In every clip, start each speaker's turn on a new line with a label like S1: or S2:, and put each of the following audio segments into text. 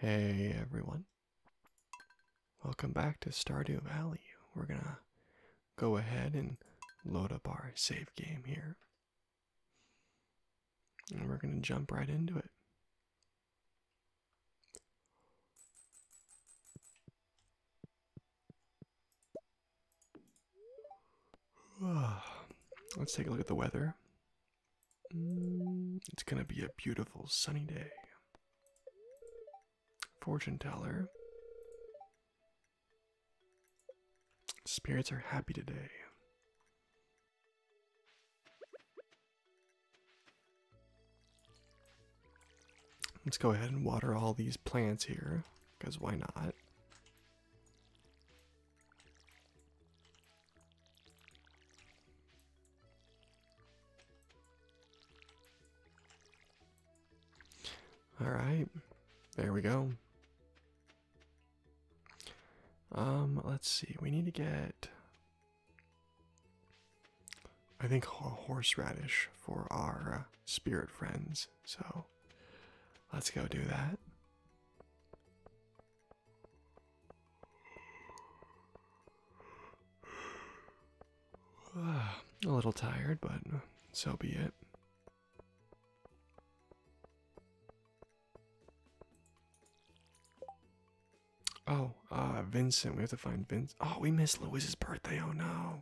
S1: Hey everyone. Welcome back to Stardew Valley. We're gonna go ahead and load up our save game here. And we're gonna jump right into it. Let's take a look at the weather. Mm, it's gonna be a beautiful sunny day. Fortune teller. Spirits are happy today. Let's go ahead and water all these plants here, because why not? All right, there we go. Um, let's see. We need to get, I think, horseradish for our uh, spirit friends. So let's go do that. A little tired, but so be it. Oh, uh, Vincent. We have to find Vince. Oh, we missed Louis's birthday. Oh no.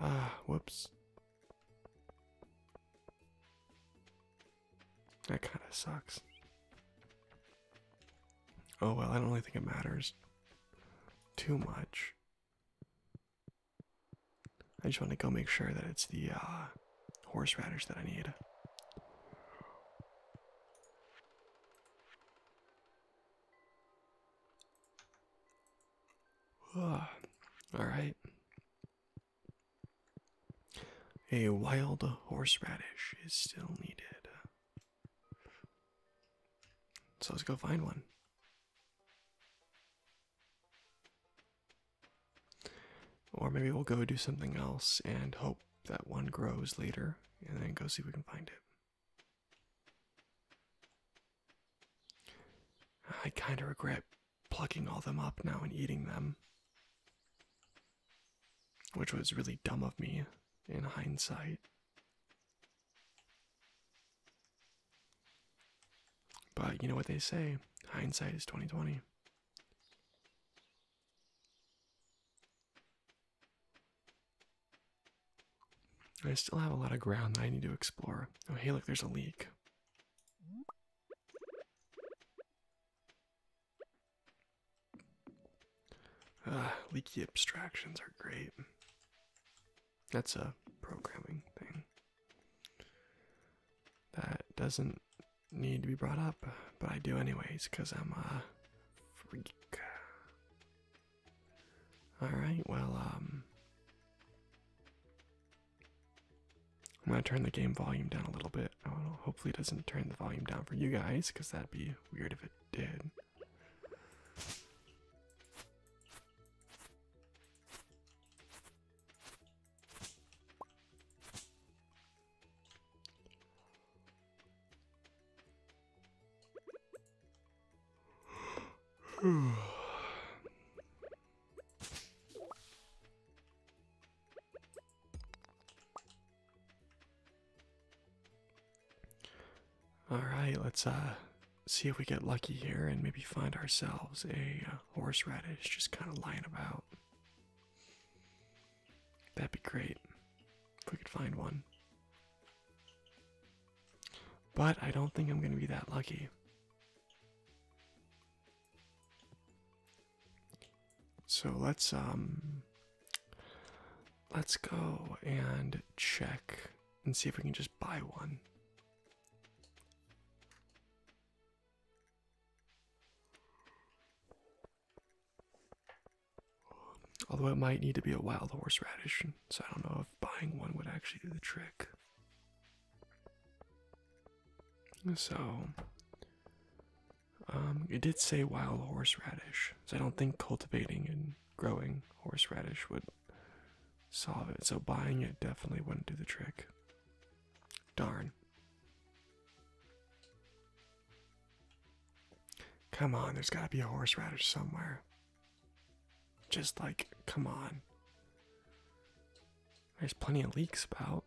S1: Ah, whoops. That kind of sucks. Oh well, I don't really think it matters too much. I just want to go make sure that it's the uh, horseradish that I need. All right. A wild horseradish is still needed. So let's go find one. Or maybe we'll go do something else and hope that one grows later and then go see if we can find it. I kind of regret plucking all them up now and eating them. Which was really dumb of me in hindsight. But you know what they say, hindsight is 2020. I still have a lot of ground that I need to explore. Oh, hey, look, there's a leak. Uh, leaky abstractions are great. That's a programming thing that doesn't need to be brought up, but I do anyways because I'm a freak. All right, well, um, I'm gonna turn the game volume down a little bit. hopefully it doesn't turn the volume down for you guys, because that'd be weird if it did. All right, let's uh, see if we get lucky here and maybe find ourselves a uh, horseradish just kind of lying about. That'd be great if we could find one. But I don't think I'm going to be that lucky. So let's um let's go and check and see if we can just buy one. Although it might need to be a wild horseradish, so I don't know if buying one would actually do the trick. So, um, it did say wild horseradish, so I don't think cultivating and growing horseradish would solve it. So buying it definitely wouldn't do the trick. Darn. Come on, there's got to be a horseradish somewhere. Just like, come on. There's plenty of leeks about.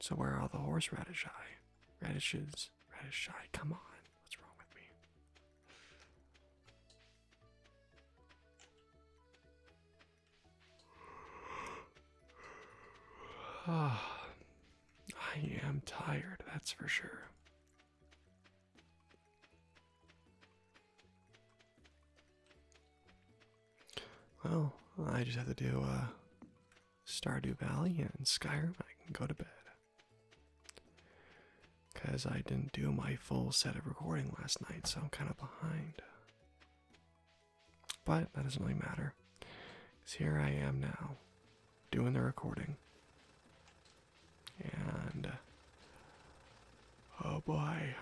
S1: So where are all the horseradish I Radishes, radish I come on. What's wrong with me? Ah, I am tired, that's for sure. Well, I just have to do uh, Stardew Valley and Skyrim. I can go to bed. Because I didn't do my full set of recording last night, so I'm kind of behind. But that doesn't really matter. Because here I am now, doing the recording. And. Oh boy.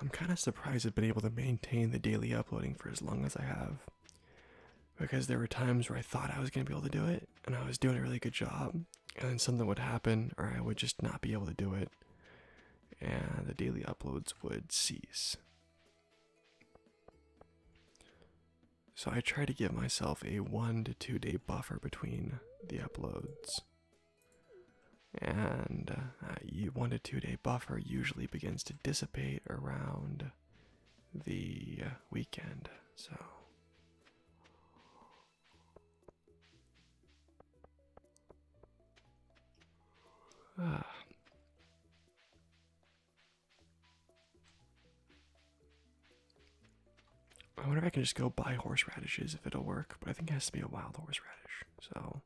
S1: I'm kind of surprised I've been able to maintain the daily uploading for as long as I have. Because there were times where I thought I was going to be able to do it, and I was doing a really good job, and then something would happen, or I would just not be able to do it, and the daily uploads would cease. So I try to give myself a one to two day buffer between the uploads. And uh, uh one to two day buffer usually begins to dissipate around the uh, weekend. So ah. I wonder if I can just go buy horseradishes if it'll work, but I think it has to be a wild horseradish, so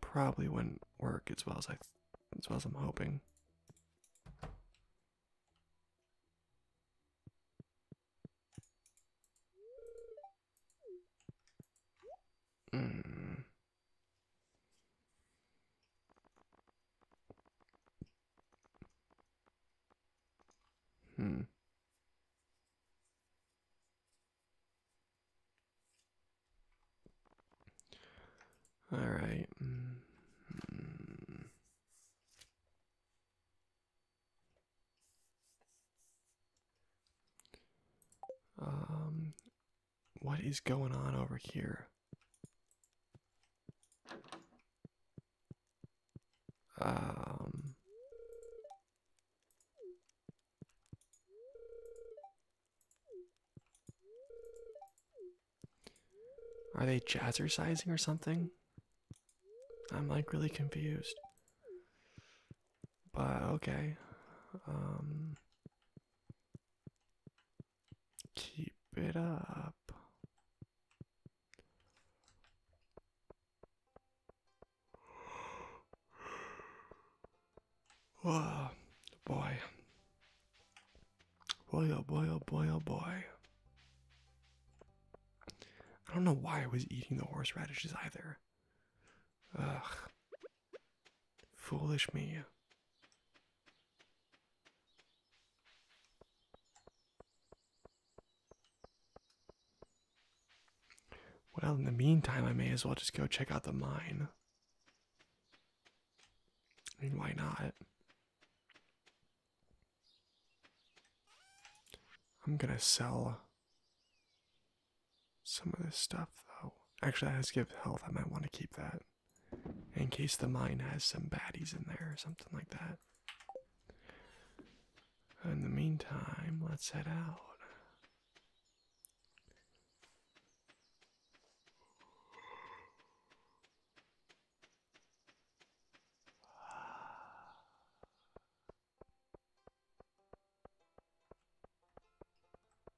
S1: probably wouldn't work as well as I as well as I'm hoping. Hmm. Hmm. All hmm. Um, what is going on over here? Um. Are they jazzercising or something? I'm like really confused. But okay. Um Keep it up. Oh boy. Boy, oh boy, oh boy, oh boy. I don't know why I was eating the horseradishes either. Ugh. Foolish me. Well, in the meantime, I may as well just go check out the mine. I mean, why not? I'm gonna sell some of this stuff, though. Actually, that has to give health. I might want to keep that in case the mine has some baddies in there or something like that. In the meantime, let's head out.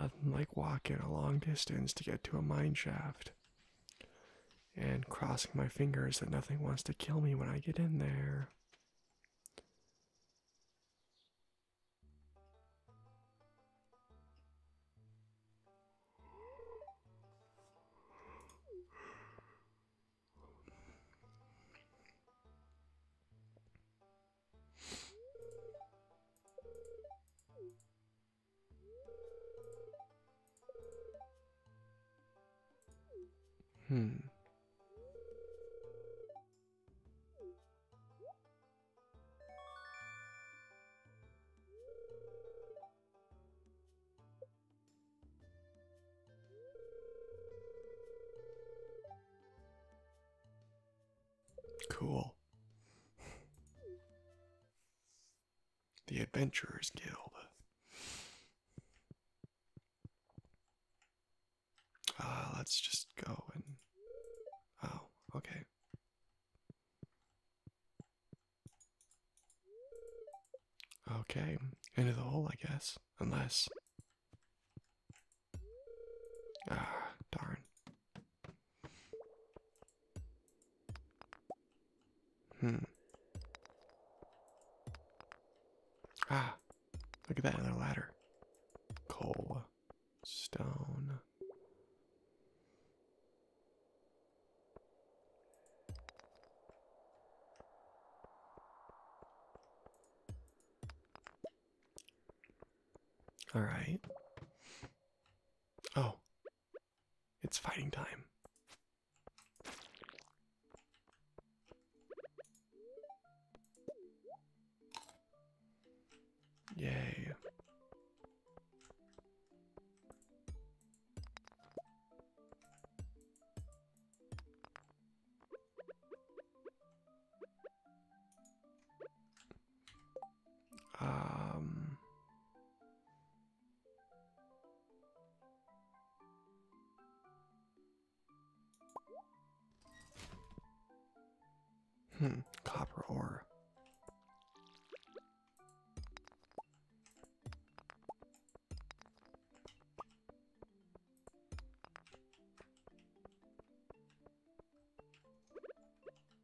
S1: Nothing like walking a long distance to get to a mine shaft and crossing my fingers that nothing wants to kill me when I get in there. Hmm. Cool. The Adventurers Guild. Uh, let's just go and. Oh, okay. Okay, into the hole, I guess. Unless. Ah, darn. Hmm. Ah, look at that, other ladder. Coal, stone. All right. Oh, it's fighting time. Yay. Um, hmm, copper ore.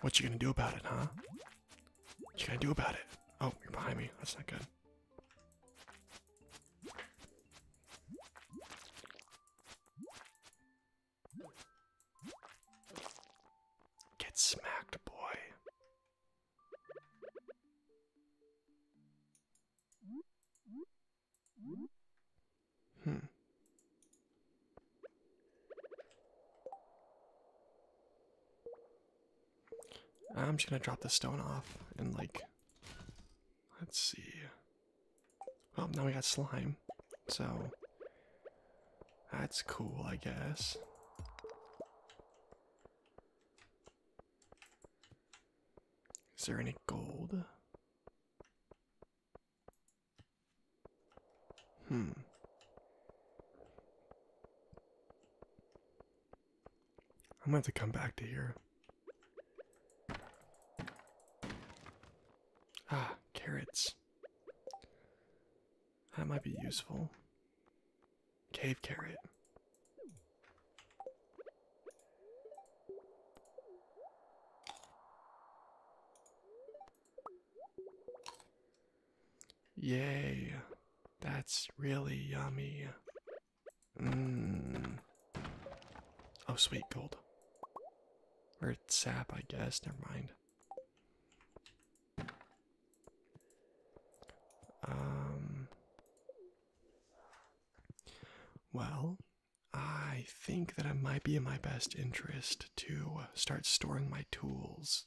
S1: What you gonna do about it, huh? What you gonna do about it? Oh, you're behind me. That's not good. Get smacked, boy. Hmm. I'm just gonna drop the stone off and like let's see. Well oh, now we got slime. So that's cool I guess. Is there any gold? Hmm. I'm going to come back to here. Ah, carrots. That might be useful. Cave carrot. Yay, that's really yummy. Mmm. Oh, sweet gold. Or sap, I guess. Never mind. Um. Well, I think that I might be in my best interest to uh, start storing my tools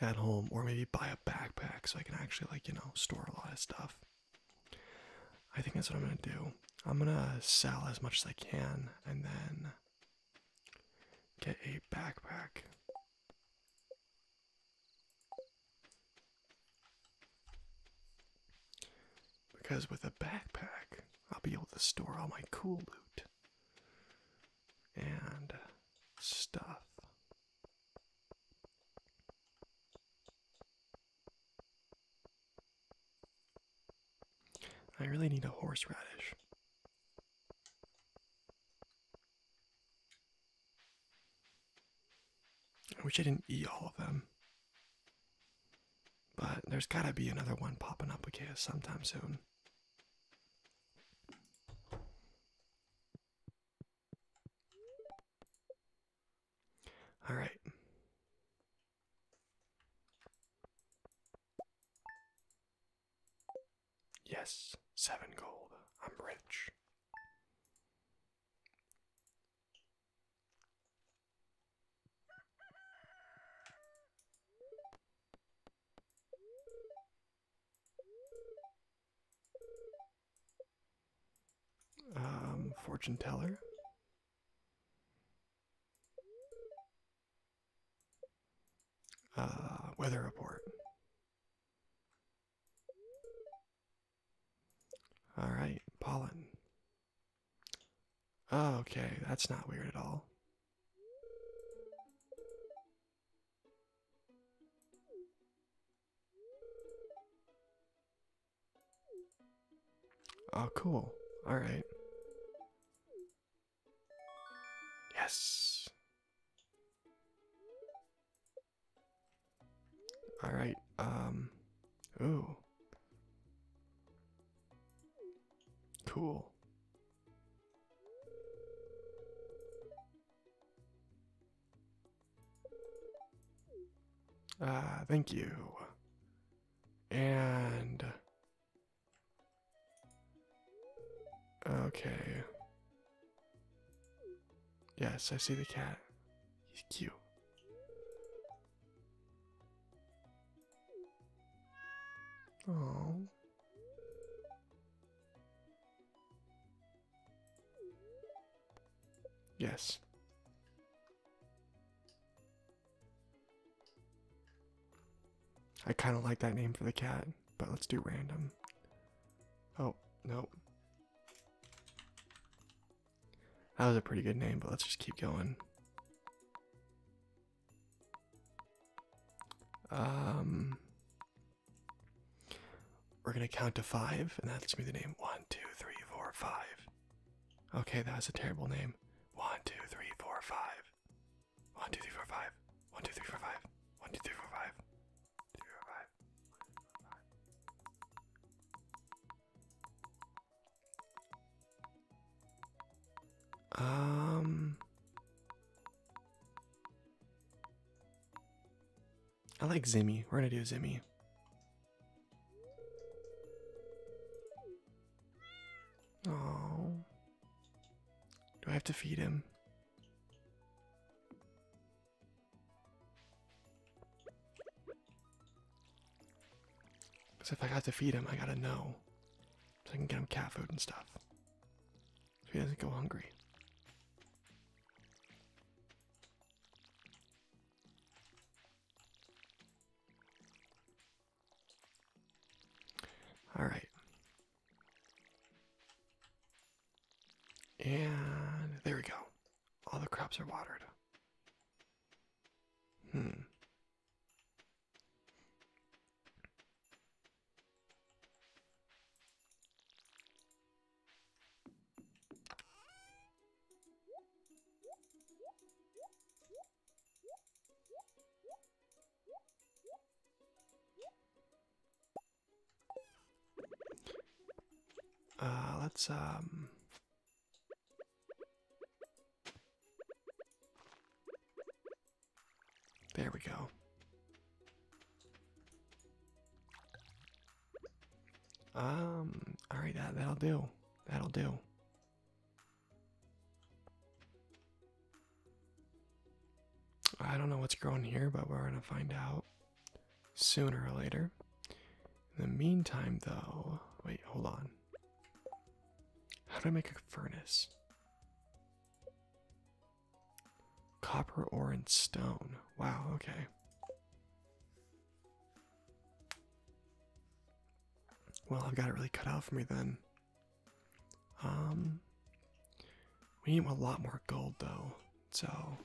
S1: at home or maybe buy a backpack so I can actually like, you know, store a lot of stuff. I think that's what I'm going to do. I'm going to sell as much as I can and then get a backpack. Because with a backpack, I'll be able to store all my cool loot and stuff. I really need a horseradish. I wish I didn't eat all of them. But there's gotta be another one popping up again sometime soon. Alright. Yes, seven gold. I'm rich. Um, fortune teller. Uh, weather report. All right, pollen. Oh, okay, that's not weird at all. Oh, cool. All right. Yes. All right. Um. Ooh. Cool. Ah, thank you. And okay. Yes, I see the cat. He's cute. Oh. Yes. I kind of like that name for the cat, but let's do random. Oh, no. That was a pretty good name, but let's just keep going. Um, we're gonna count to five, and that's gonna be the name. One, two, three, four, five. Okay, that's a terrible name. One, two, three, four, five. One, two, three, four, five. One, two, three, four, five. One, two, three, four, five. Um, I like Zimmy. We're gonna do Zimmy. Oh, do I have to feed him? Because if I got to feed him, I gotta know. So I can get him cat food and stuff. So he doesn't go hungry. All right. And there we go. All the crops are watered. Hmm. Uh, let's um. There we go. Um. All right. That that'll do. That'll do. I don't know what's growing here, but we're gonna find out sooner or later. In the meantime, though, wait, hold on. How do I make a furnace? Copper, ore, and stone. Wow, okay. Well, I've got it really cut out for me then. Um, we need a lot more gold though, so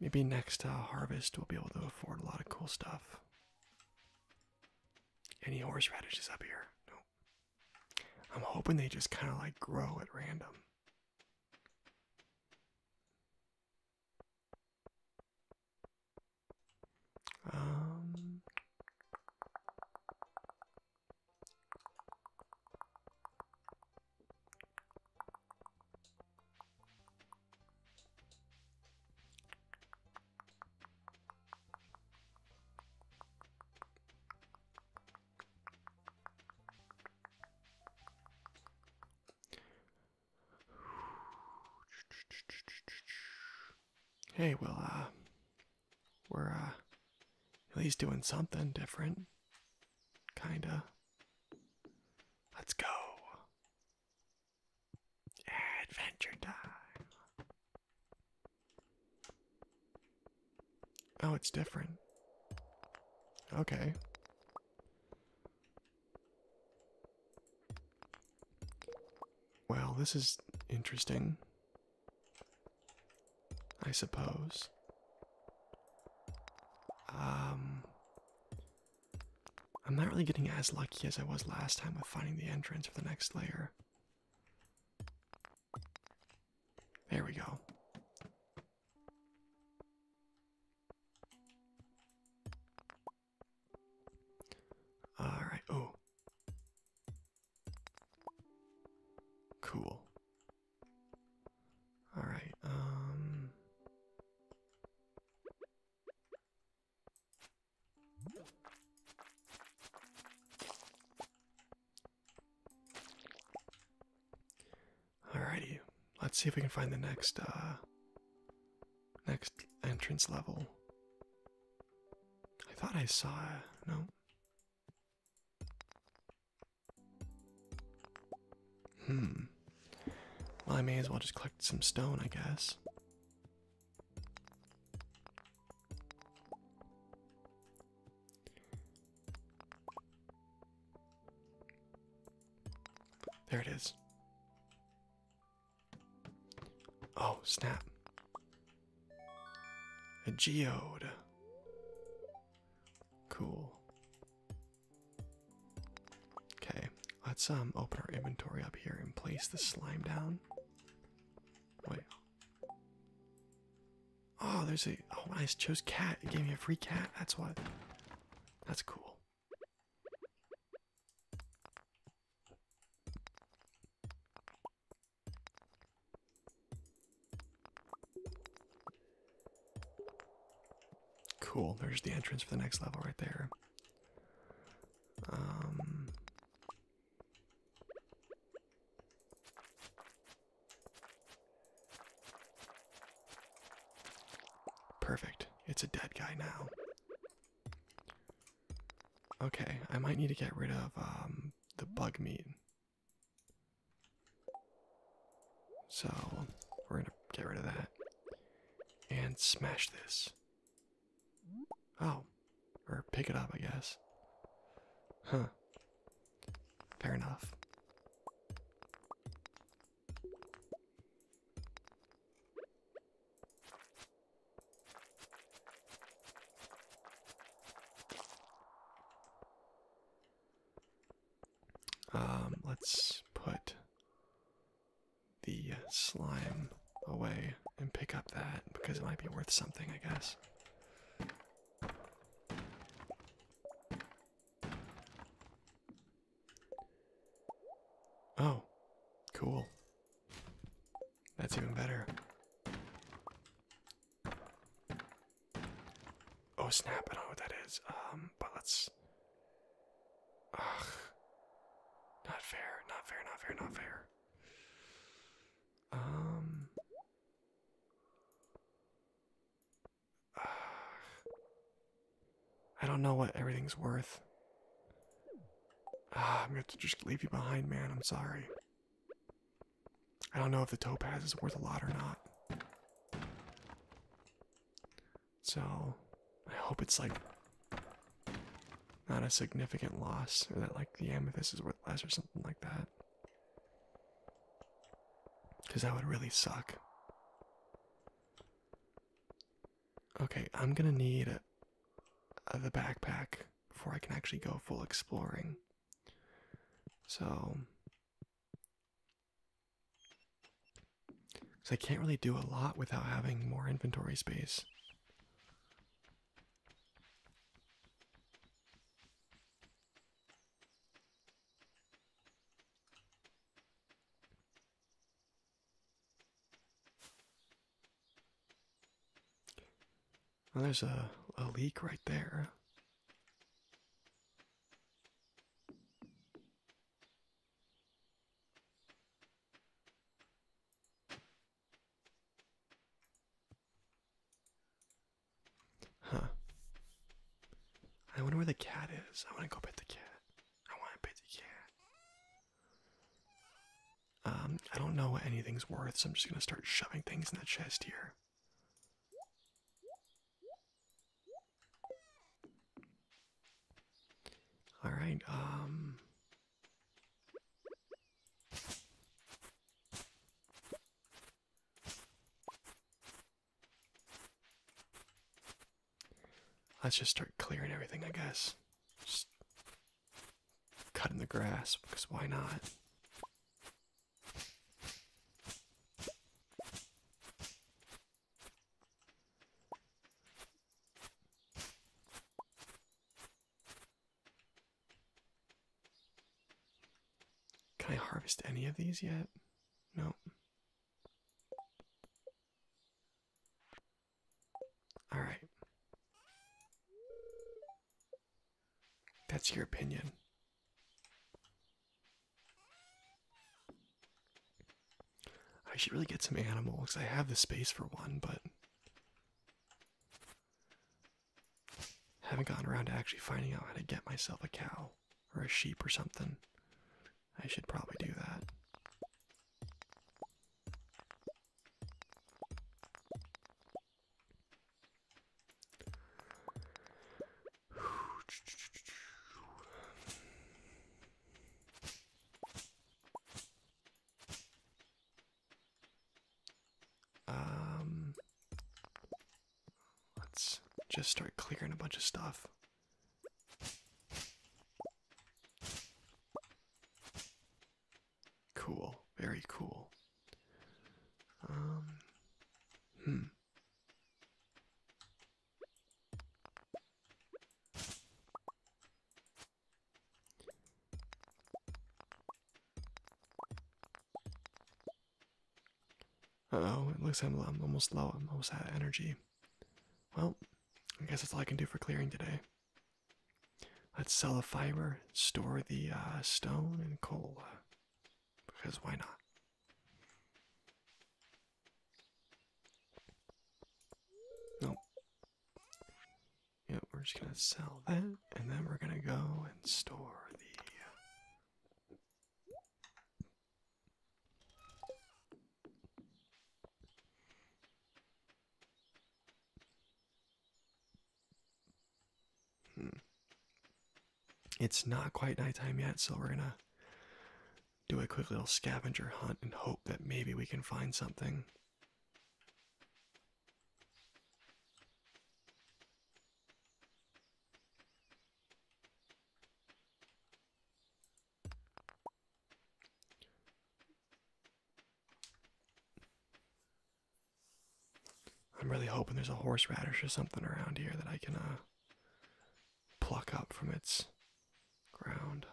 S1: Maybe next uh, harvest we'll be able to afford a lot of cool stuff. Any horseradishes up here? No. Nope. I'm hoping they just kind of like grow at random. Um. Hey, well, uh, we're, uh, at least doing something different. Kinda. Let's go. Adventure time. Oh, it's different. Okay. Well, this is interesting. I suppose. Um, I'm not really getting as lucky as I was last time with finding the entrance for the next layer. There we go. All right. Oh. Cool. All right. Um Alrighty, let's see if we can find the next uh next entrance level. I thought I saw no. Hmm. Well, I may as well just collect some stone, I guess. There it is. Oh, snap. A geode. Cool. Okay, let's um open our inventory up here and place the slime down. Wait. Oh, there's a oh I chose cat. It gave me a free cat. That's what. That's cool. Cool, there's the entrance for the next level right there. Um, perfect. It's a dead guy now. Okay, I might need to get rid of um, the bug meat. So we're gonna get rid of that and smash this. Oh, or pick it up, I guess. Huh. Fair enough. Um, let's put the slime away and pick up that because it might be worth something, I guess. Oh, cool. That's even better. Oh snap, I don't know what that is. Um, but let's Ugh. Not fair, not fair, not fair, not fair. Um. Uh, I don't know what everything's worth. Uh, I'm going to just leave you behind, man. I'm sorry. I don't know if the topaz is worth a lot or not. So I hope it's like not a significant loss, or that like the amethyst is worth less or something like that. Because that would really suck. Okay, I'm gonna need the backpack before I can actually go full exploring. So because I can't really do a lot without having more inventory space. Oh, there's a, a leak right there. Huh. I wonder where the cat is. I want to go pet the cat. I want to pet the cat. Um, I don't know what anything's worth, so I'm just going to start shoving things in the chest here. All right, um... Let's just start clearing everything, I guess. Just cutting the grass, because why not? Can I harvest any of these yet? No. All right. That's your opinion. I should really get some animals. I have the space for one, but haven't gotten around to actually finding out how to get myself a cow or a sheep or something. I should probably do that. Um, let's just start clearing a bunch of stuff. Cool, very cool. Um, hmm oh, it looks like I'm, almost low. I'm almost out of energy. Well, I guess that's all I can do for clearing today. Let's sell the fiber, store the uh, stone and coal. Because why not? Nope. Yeah, we're just gonna sell that, and then we're gonna go and store the. Uh, hmm. It's not quite nighttime yet, so we're gonna do a quick little scavenger hunt and hope that maybe we can find something. I'm really hoping there's a horseradish or something around here that I can uh, pluck up from its ground.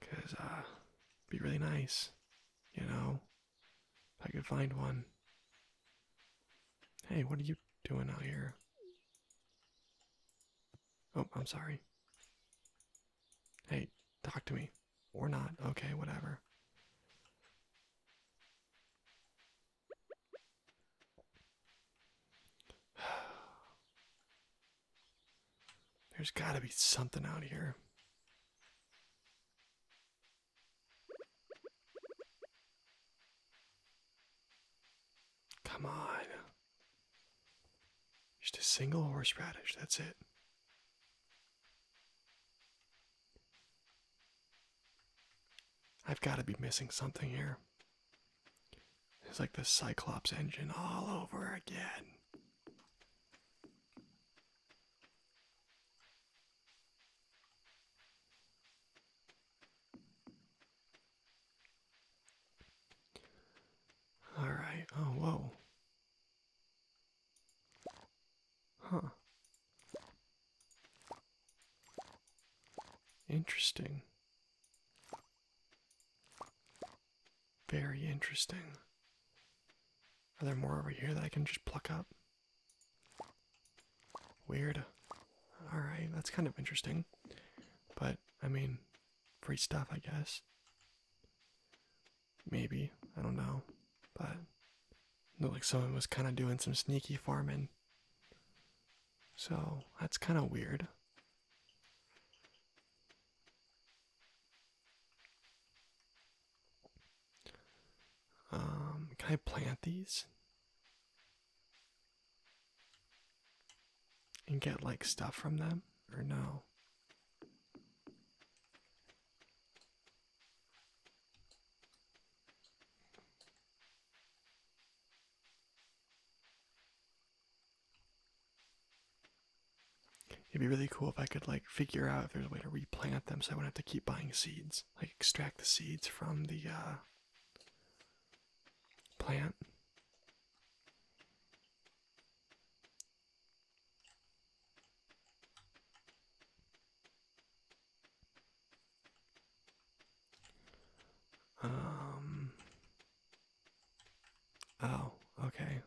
S1: Cause uh be really nice, you know. If I could find one. Hey, what are you doing out here? Oh, I'm sorry. Hey, talk to me. Or not. Okay, whatever. There's gotta be something out here. Come on. Just a single horseradish, that's it. I've got to be missing something here. It's like the Cyclops engine all over again. All right. Oh, whoa. Huh. Interesting. Very interesting. Are there more over here that I can just pluck up? Weird. Alright, that's kind of interesting. But, I mean, free stuff, I guess. Maybe. I don't know. But, look, like someone was kind of doing some sneaky farming. So that's kind of weird. Um, can I plant these? And get like stuff from them? Or no? It'd be really cool if I could like figure out if there's a way to replant them, so I wouldn't have to keep buying seeds. Like extract the seeds from the uh, plant. Um. Oh, okay.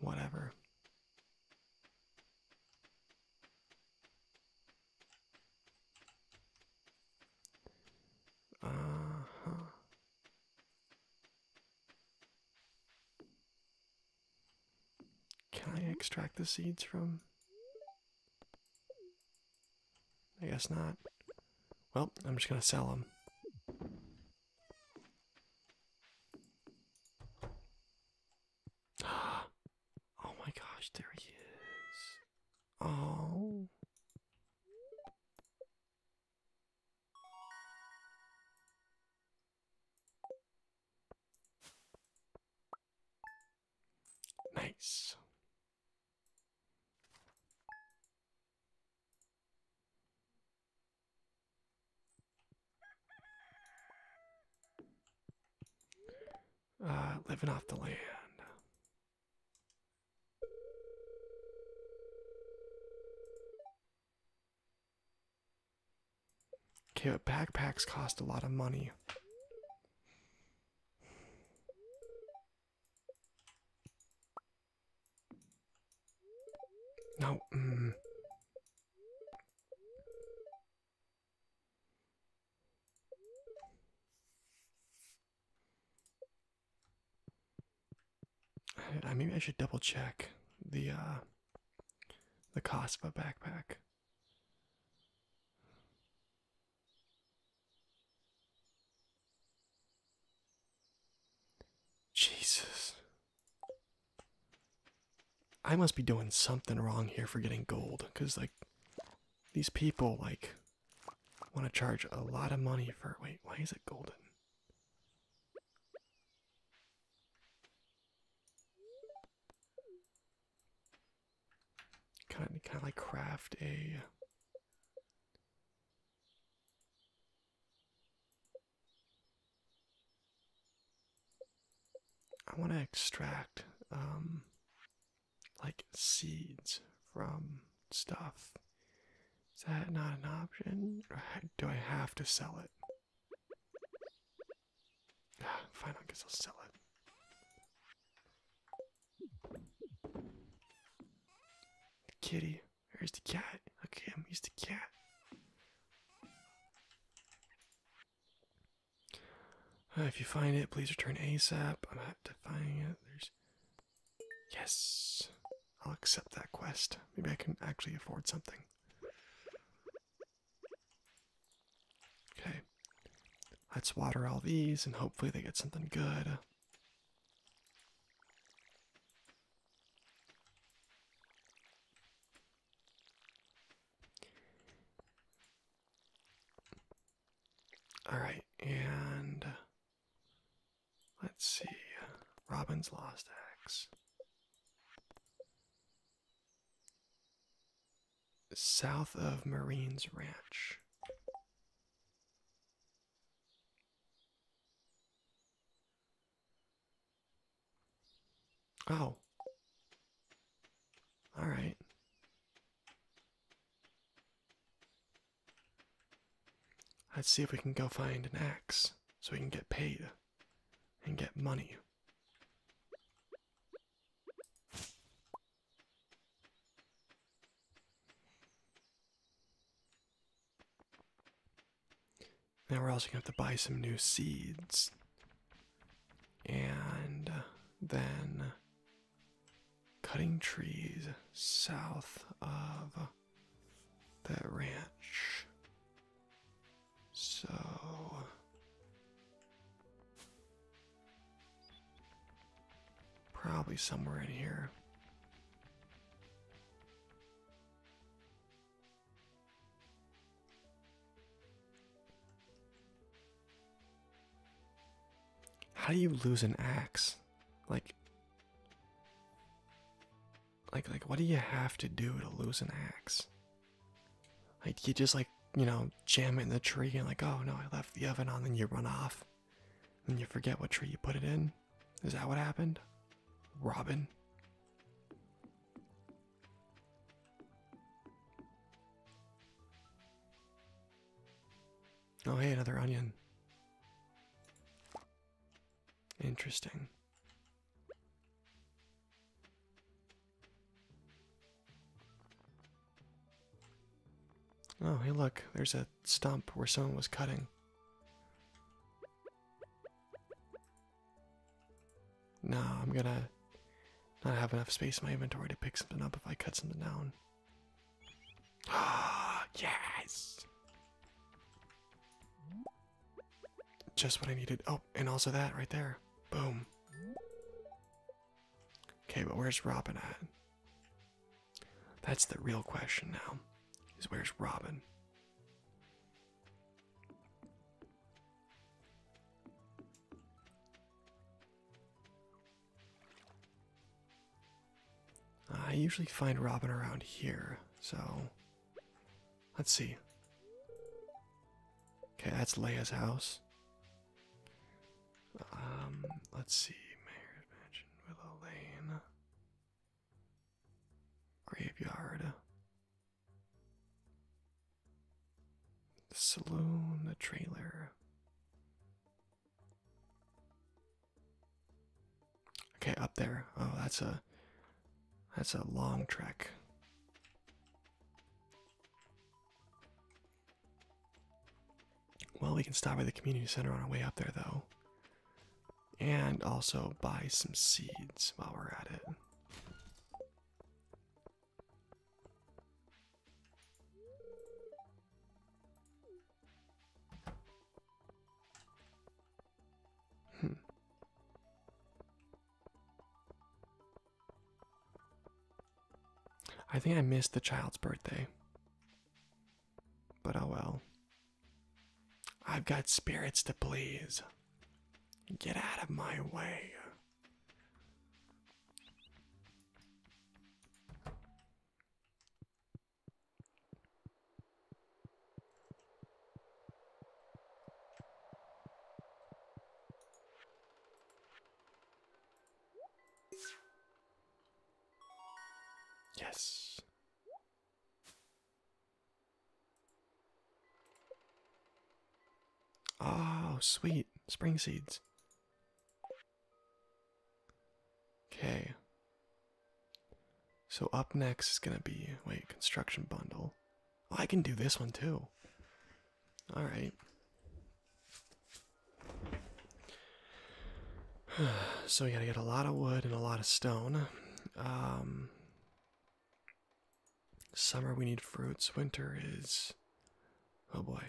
S1: Whatever. Uh huh. Can I extract the seeds from I guess not. Well, I'm just gonna sell them. oh my gosh, there he is. Oh. Nice. Uh, living off the land. Okay, but backpacks cost a lot of money. No. Mm. I, maybe I should double check the uh, the cost of a backpack. Jesus. I must be doing something wrong here for getting gold, because, like, these people, like, want to charge a lot of money for. Wait, why is it golden? Kind of, kind of like craft a. I want to extract um, like seeds from stuff. Is that not an option? do I have to sell it? Ah, fine, I guess I'll sell it kitty. Where's the cat? Okay, I'm used to cat. Uh, if you find it, please return ASAP. I'm not to it. There's. Yes! I'll accept that quest. Maybe I can actually afford something. Okay, let's water all these and hopefully they get something good. All right, and let's see. Robin's lost axe south of Marine's Ranch. Oh. All right. Let's see if we can go find an axe so we can get paid and get money. Now we're also going to have to buy some new seeds. And then cutting trees south of the ranch. So Probably somewhere in here. How do you lose an axe? Like like like what do you have to do to lose an axe? you just like you know jam it in the tree and like oh no I left the oven on then you run off, and you forget what tree you put it in. Is that what happened, Robin? Oh hey another onion. Interesting. Oh, hey look, there's a stump where someone was cutting. No, I'm gonna not have enough space in my inventory to pick something up if I cut something down. Ah, yes! Just what I needed. Oh, and also that right there. Boom. Okay, but where's Robin at? That's the real question now. Is where's Robin? I usually find Robin around here, so let's see. Okay, that's Leia's house. Um, let's see. Mayor's Mansion with a Graveyard. The saloon, the trailer. Okay, up there. Oh, that's a that's a long trek. Well, we can stop at the community center on our way up there, though. And also buy some seeds while we're at it. Hmm. I think I missed the child's birthday. But oh well. I've got spirits to please. Get out of my way. Yes. Oh, sweet. Spring seeds. Okay. So up next is going to be, wait, construction bundle. Oh, I can do this one too. All right. So we gotta get a lot of wood and a lot of stone. Um, summer we need fruits. Winter is, oh boy.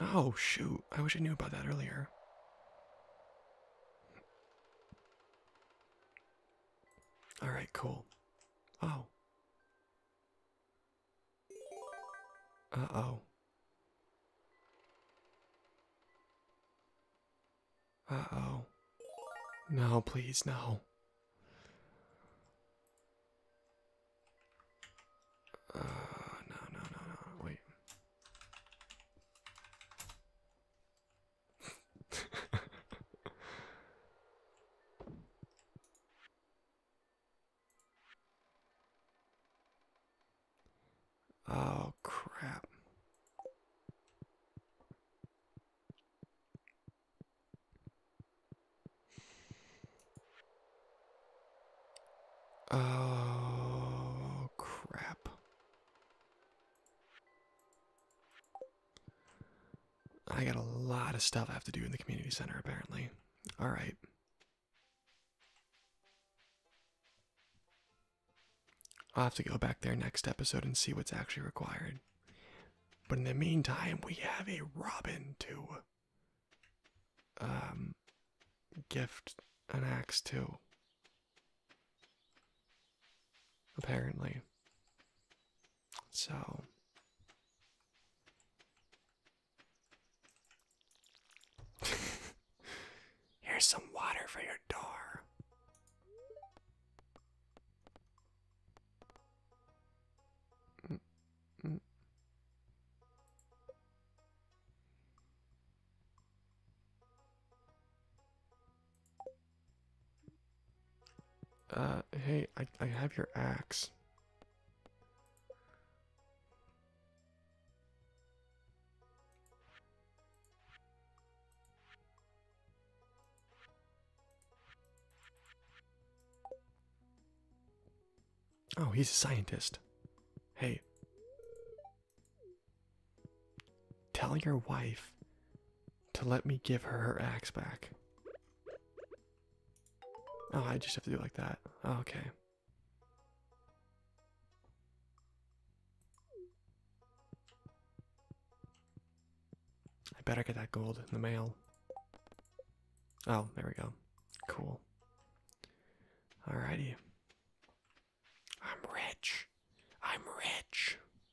S1: Oh shoot! I wish I knew about that earlier. All right, cool. Oh. Uh-oh. Uh-oh. No, please, no. Uh, no, no, no, no, wait. oh, crap. Oh, crap. I got a lot of stuff I have to do in the community center, apparently. Alright. I'll have to go back there next episode and see what's actually required. But in the meantime, we have a robin to um, gift an axe to. Apparently. So Here's some water for your door. Uh, hey, I, I have your axe. Oh, he's a scientist. Hey. Tell your wife to let me give her her axe back. Oh, I just have to do it like that. Oh, okay. I better get that gold in the mail. Oh, there we go. Cool. Alrighty. I'm rich. I'm rich.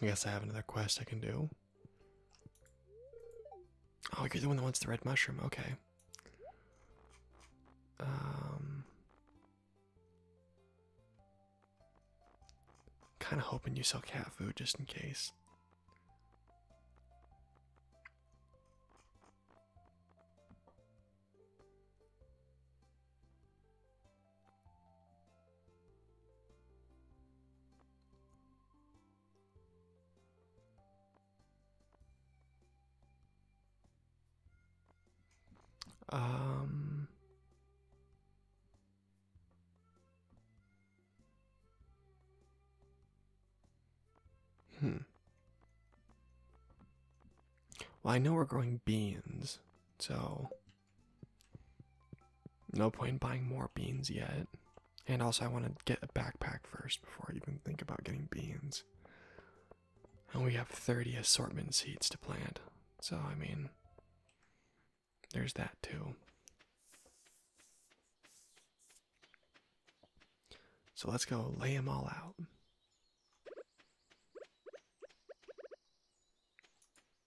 S1: I guess I have another quest I can do. Oh, you're the one that wants the red mushroom. Okay. Um, kind of hoping you sell cat food just in case. Um, hmm. Well, I know we're growing beans, so no point buying more beans yet. And also, I want to get a backpack first before I even think about getting beans. And we have 30 assortment seeds to plant. So, I mean, there's that too. So, let's go lay them all out.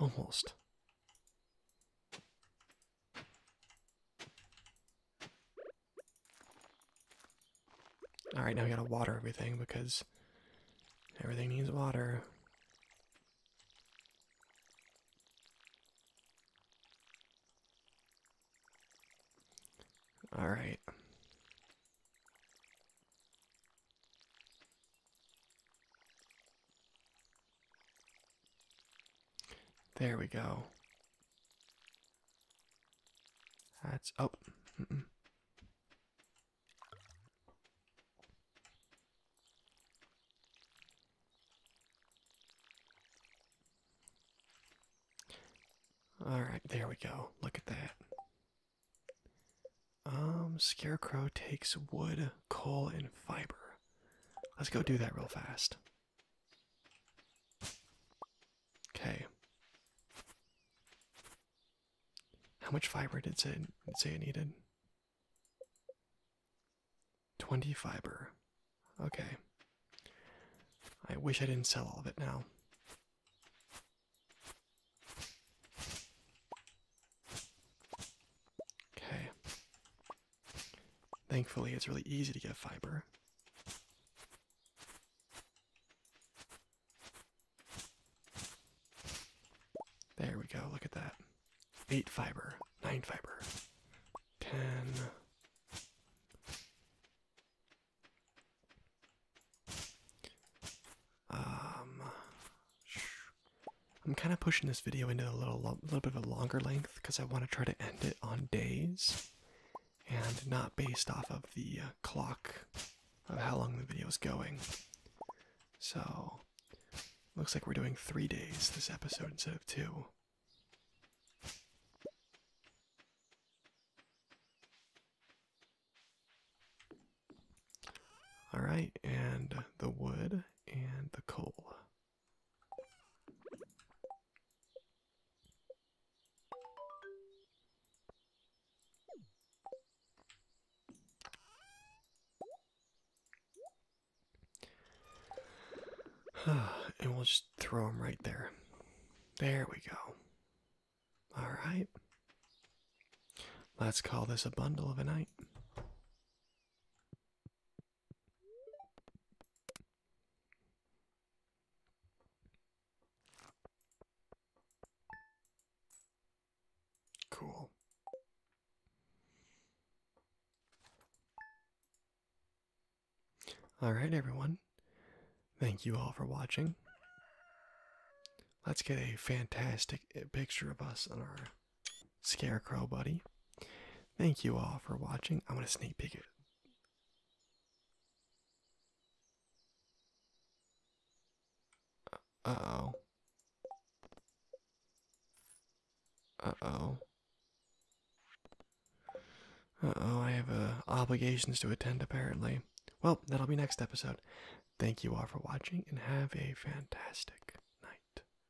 S1: Almost. Alright, now we gotta water everything because everything needs water. Alright. There we go. That's oh. Mm -mm. All right, there we go. Look at that. Um, Scarecrow takes wood, coal, and fiber. Let's go do that real fast. Okay. How much fiber did it say, it say it needed? 20 fiber. Okay. I wish I didn't sell all of it now. Okay. Thankfully, it's really easy to get fiber. There we go, look at that. 8 fiber, 9 fiber, 10. Um, I'm kind of pushing this video into a little, little bit of a longer length because I want to try to end it on days and not based off of the uh, clock of how long the video is going. So, looks like we're doing three days this episode instead of two. All right, and the wood and the coal. and we'll just throw them right there. There we go. All right. Let's call this a bundle of a night. Cool. Alright, everyone. Thank you all for watching. Let's get a fantastic picture of us on our Scarecrow buddy. Thank you all for watching. I'm gonna sneak peek it. Uh-oh. Uh-oh. Uh-oh, I have uh, obligations to attend apparently. Well, that'll be next episode. Thank you all for watching and have a fantastic night.